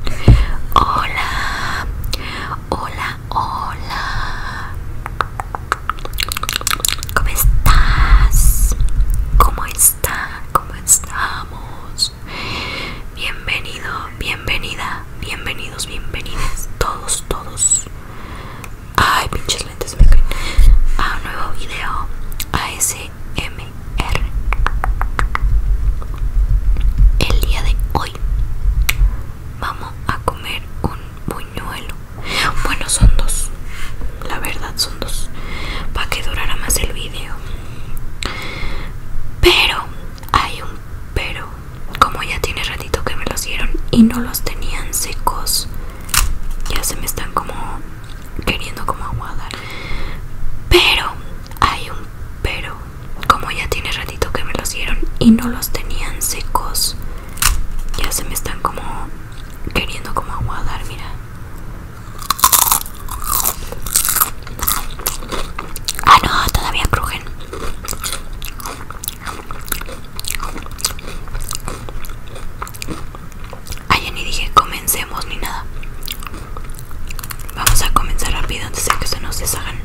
Hola, hola, hola. ¿Cómo estás? ¿Cómo está? ¿Cómo estamos? Bienvenido, bienvenida, bienvenidos, bienvenidas, todos, todos. Ay, pinches lentes me caen. A un nuevo video ASM. El día de hoy vamos a comer un buñuelo. Bueno, son dos. La verdad, son dos. Para que durara más el vídeo Pero, hay un pero. Como ya tiene ratito que me los dieron y no los tenían secos, ya se me están como queriendo como aguadar. Pero, hay un pero como ya tiene ratito que me los dieron y no los tenían secos ya se me están como queriendo como aguadar mira ah no todavía crujen ah, ya ni dije comencemos ni nada Vamos a comenzar rápido antes de que se nos deshagan.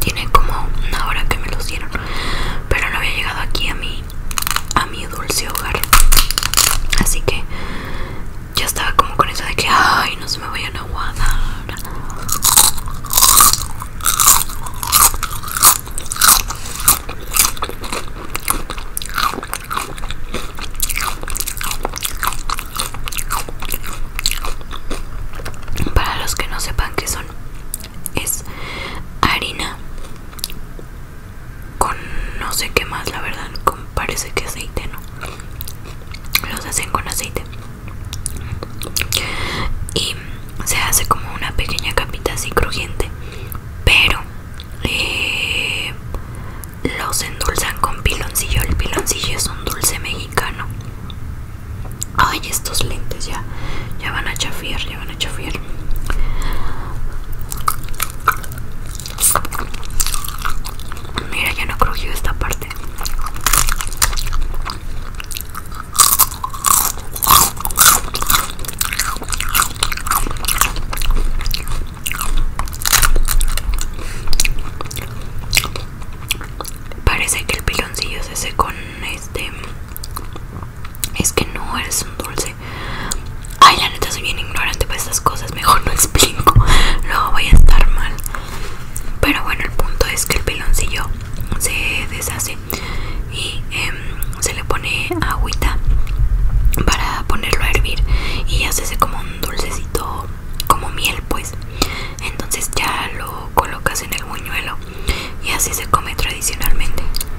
Tiene como una hora que me lo dieron, pero no había llegado aquí a mí a mi dulce hogar. Así que ya estaba como con eso de que, ay, no se me vayan a aguadar. Para los que no sepan qué son, es harina con no sé qué más, la verdad, parece que aceite, ¿no? Los hacen con aceite. Y se hace como una pequeña capita así crujiente, pero eh, los endulzan con piloncillo. El piloncillo es un dulce mexicano. Ay, estos lentes ya, ya van a chafiar, ya van Mira, ya no crujió esta parte. Parece que el piloncillo se hace con este. Es que no es un dulce. Ay, la neta soy bien ignorante para estas cosas, mejor no explico, luego voy a estar mal. Pero bueno, el punto es que el piloncillo se deshace y em, se le pone agüita para ponerlo a hervir y hacese como un dulcecito, como miel, pues. Entonces ya lo colocas en el buñuelo y así se come tradicionalmente.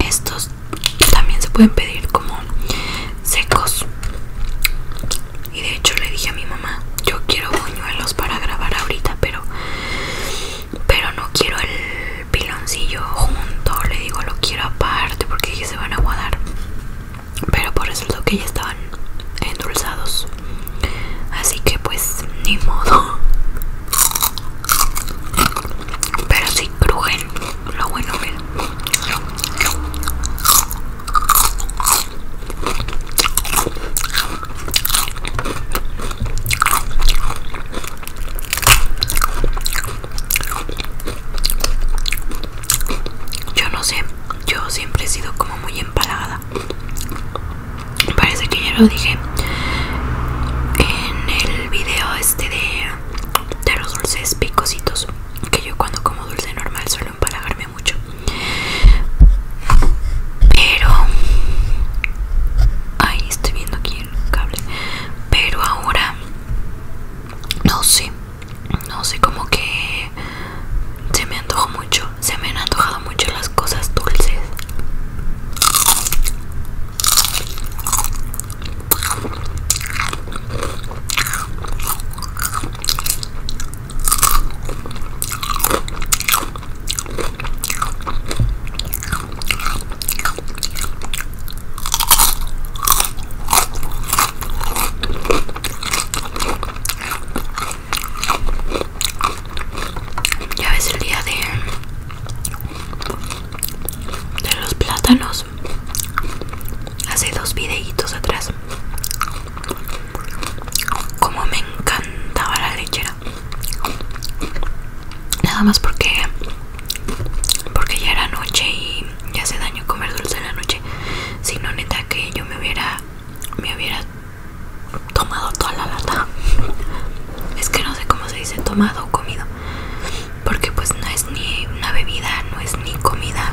Estos también se pueden pedir como secos y de hecho le dije a mi mamá yo quiero buñuelos para grabar ahorita pero pero no quiero el piloncillo junto le digo lo quiero aparte porque se van a guardar pero por resultó que ya estaban endulzados así que pues ni modo pero sí pero lo bueno que yo no sé, yo siempre he sido como muy empalagada. Parece que ya lo dije en el video este de, de los dulces picositos que yo cuando como dulce normal suelo empalagarme mucho pero ahí estoy viendo aquí el cable pero ahora no sé no sé como que se me antojó mucho se me han antojado mucho las cosas dulces ya es el día de de los plátanos hace dos videitos atrás como me encantaba la lechera nada más porque porque ya era noche y ya hace daño comer dulce en la noche si no neta que yo me hubiera me hubiera tomado toda la lata es que no sé cómo se dice tomado o comido porque pues no es ni una bebida no es ni comida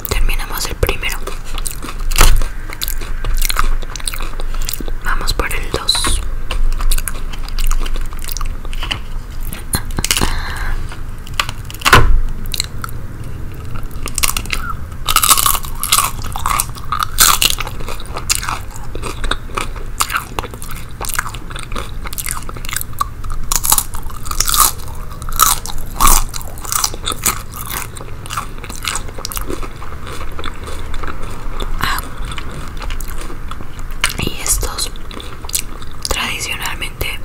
terminamos el primero vamos por el 2 Ah. y estos tradicionalmente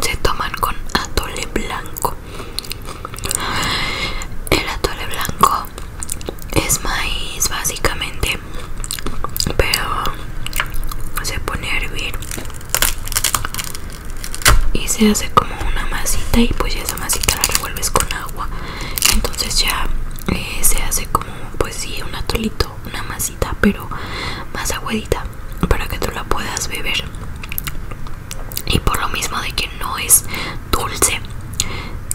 se toman con atole blanco. El atole blanco es maíz básicamente, pero se pone a hervir y se hace como una masita y pues esa masita la revuelves con agua entonces ya eh, se hace como pues sí un atolito una masita pero más aguadita para que tú la puedas beber y por lo mismo de que no es dulce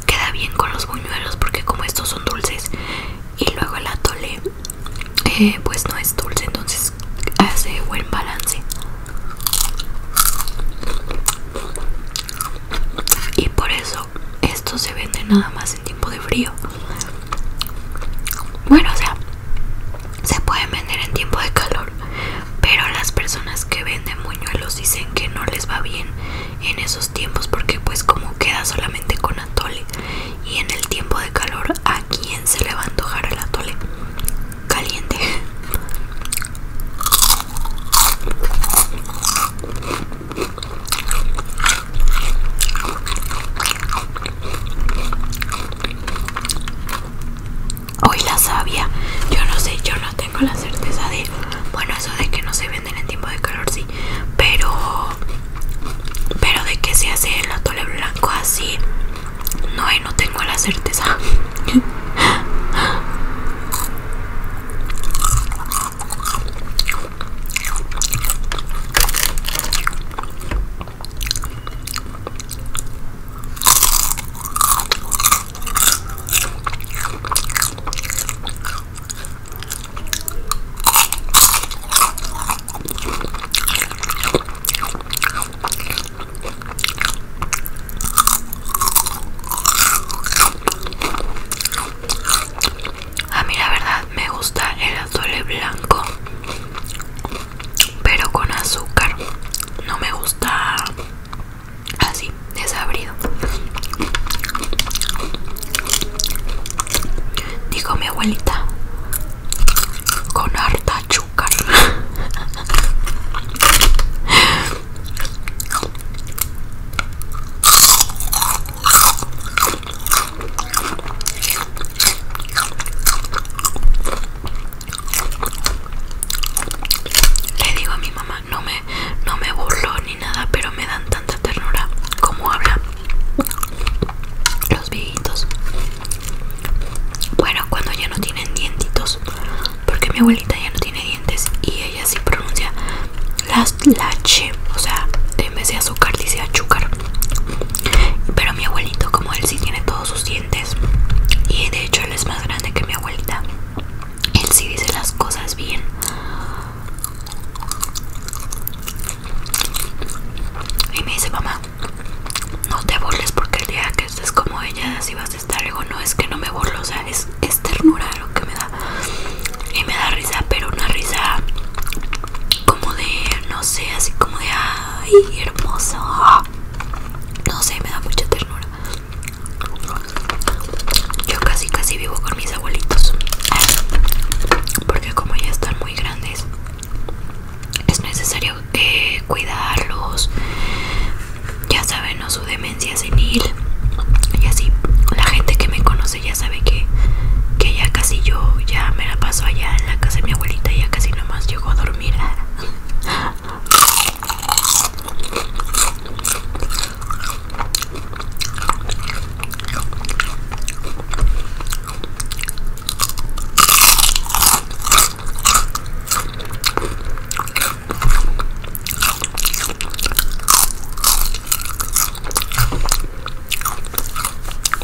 queda bien con los buñuelos porque como estos son dulces y luego el atole eh, pues no es dulce entonces hace buen balance y por eso esto se vende nada más en tiempo de frío bueno o sea se pueden vender en tiempo de calor pero las personas que venden muñuelos dicen que no les va bien en esos tiempos porque pues como queda solamente con atole y en el tiempo de calor a quién se le va a antojar el atole caliente. Hoy la sabia yo no sé, yo no tengo la certeza de, bueno, eso de que no se venden en tiempo de calor, sí, pero, pero de que se hace el atole blanco así no, no tengo la certeza. A mí la verdad me gusta el azule blanco, pero con azúcar. No me gusta así, desabrido. Dijo mi abuelita, con harta le digo a mi mamá, no me, no me burlo ni nada, pero me dan tanta ternura como habla los viejitos. Bueno, cuando ya no tienen dientitos, porque mi abuelita ya no tiene dientes y ella sí pronuncia las lache, o sea, en vez de azúcar dice azúcar. Pero mi abuelito, como él sí tiene todos sus dientes y de hecho él es más grande que mi abuelita, él sí dice las cosas bien. Y me dice, mamá, no te burles porque el día que estés como ella si vas a estar. Digo, no es que no me burlo, o sea, es, ternura lo que me da. Y me da risa, pero una risa como de, no sé, así como de, ay, hermoso. No sé, me da mucha ternura. Yo casi, casi vivo con mis abuelitos. Porque como ya están muy grandes, es necesario eh, cuidarlos ya saben no su demencia senil y así la gente que me conoce ya sabe que, que ya casi yo ya me la paso allá en la casa de mi abuelita ya casi nomás llego a dormir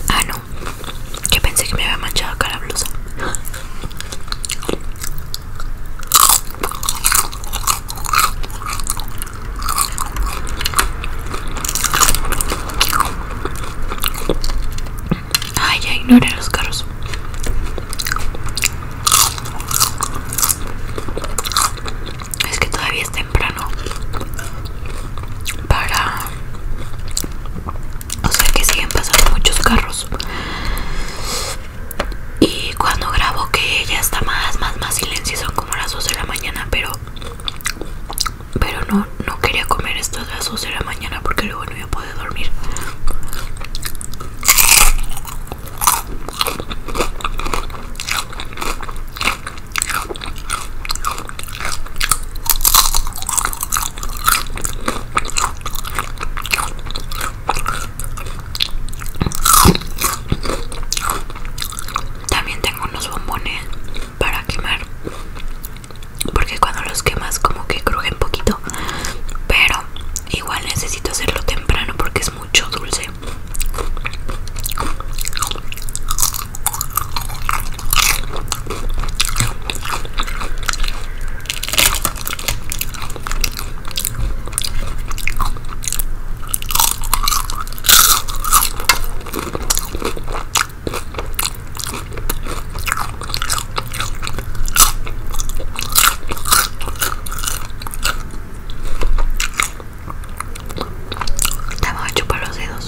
Ah, no. Yo pensé que me había manchado acá la blusa. Ay, ya ignoré los carros. Es que todavía es temprano para... O sea que siguen pasando muchos carros. Y cuando grabo que ya está más, más, más silencio, son como las 2 de la mañana, pero... Pero no, no, quería comer estos de de la mañana porque luego no iba a poder dormir. También tengo unos bombones para quemar porque cuando los quemas como que crujen poquito pero igual necesito hacerlo temprano porque es mucho dulce te voy a chupar los dedos.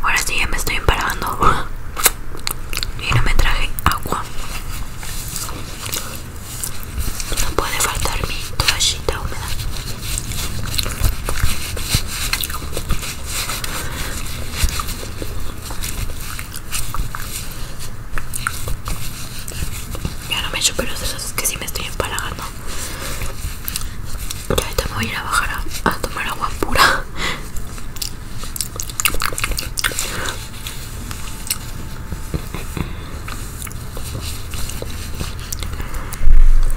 Ahora sí ya me estoy parando y no me traje agua. No puede faltar mi toallita húmeda. Ya no me echo pelos dedos Es que si me estoy empalagando. Ya ahorita me voy a ir a bajar a tomar agua pura.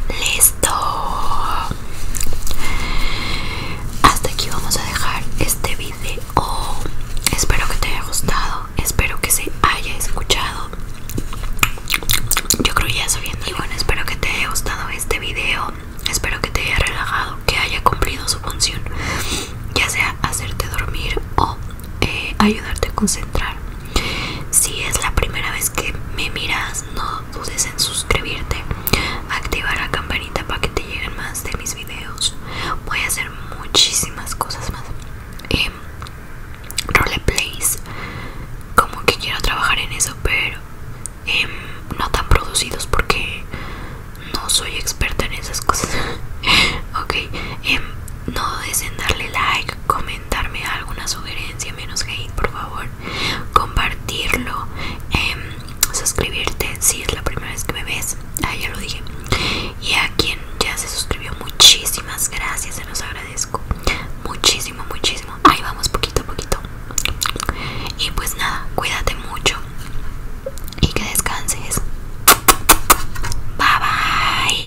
Listo. Hasta aquí vamos a dejar este video. Espero que te haya gustado. Espero que se haya escuchado. Yo creo ya soy Y bueno, espero que te haya gustado este video. Espero que te haya relajado, que haya cumplido su función. Ya sea hacerte dormir o eh, ayudarte a concentrar. Si es la primera vez que me miras, no dudes en suscribirte, activar la campanita para que te lleguen más de mis videos. Voy a hacer muchísimas cosas más. Eh, roleplays, como que quiero trabajar en eso, pero eh, no tan producidos porque no soy experta en esas cosas. ok, eh, no dudes en darle like, comentarme alguna sugerencia, menos hate, por favor. Compartirlo, em, suscribirte si es la primera vez que me ves. Ah, ya lo dije. Y a quien ya se suscribió, muchísimas gracias, se los agradezco. Muchísimo, muchísimo. Ahí vamos, poquito a poquito. Y pues nada, cuídate mucho y que descanses. Bye bye.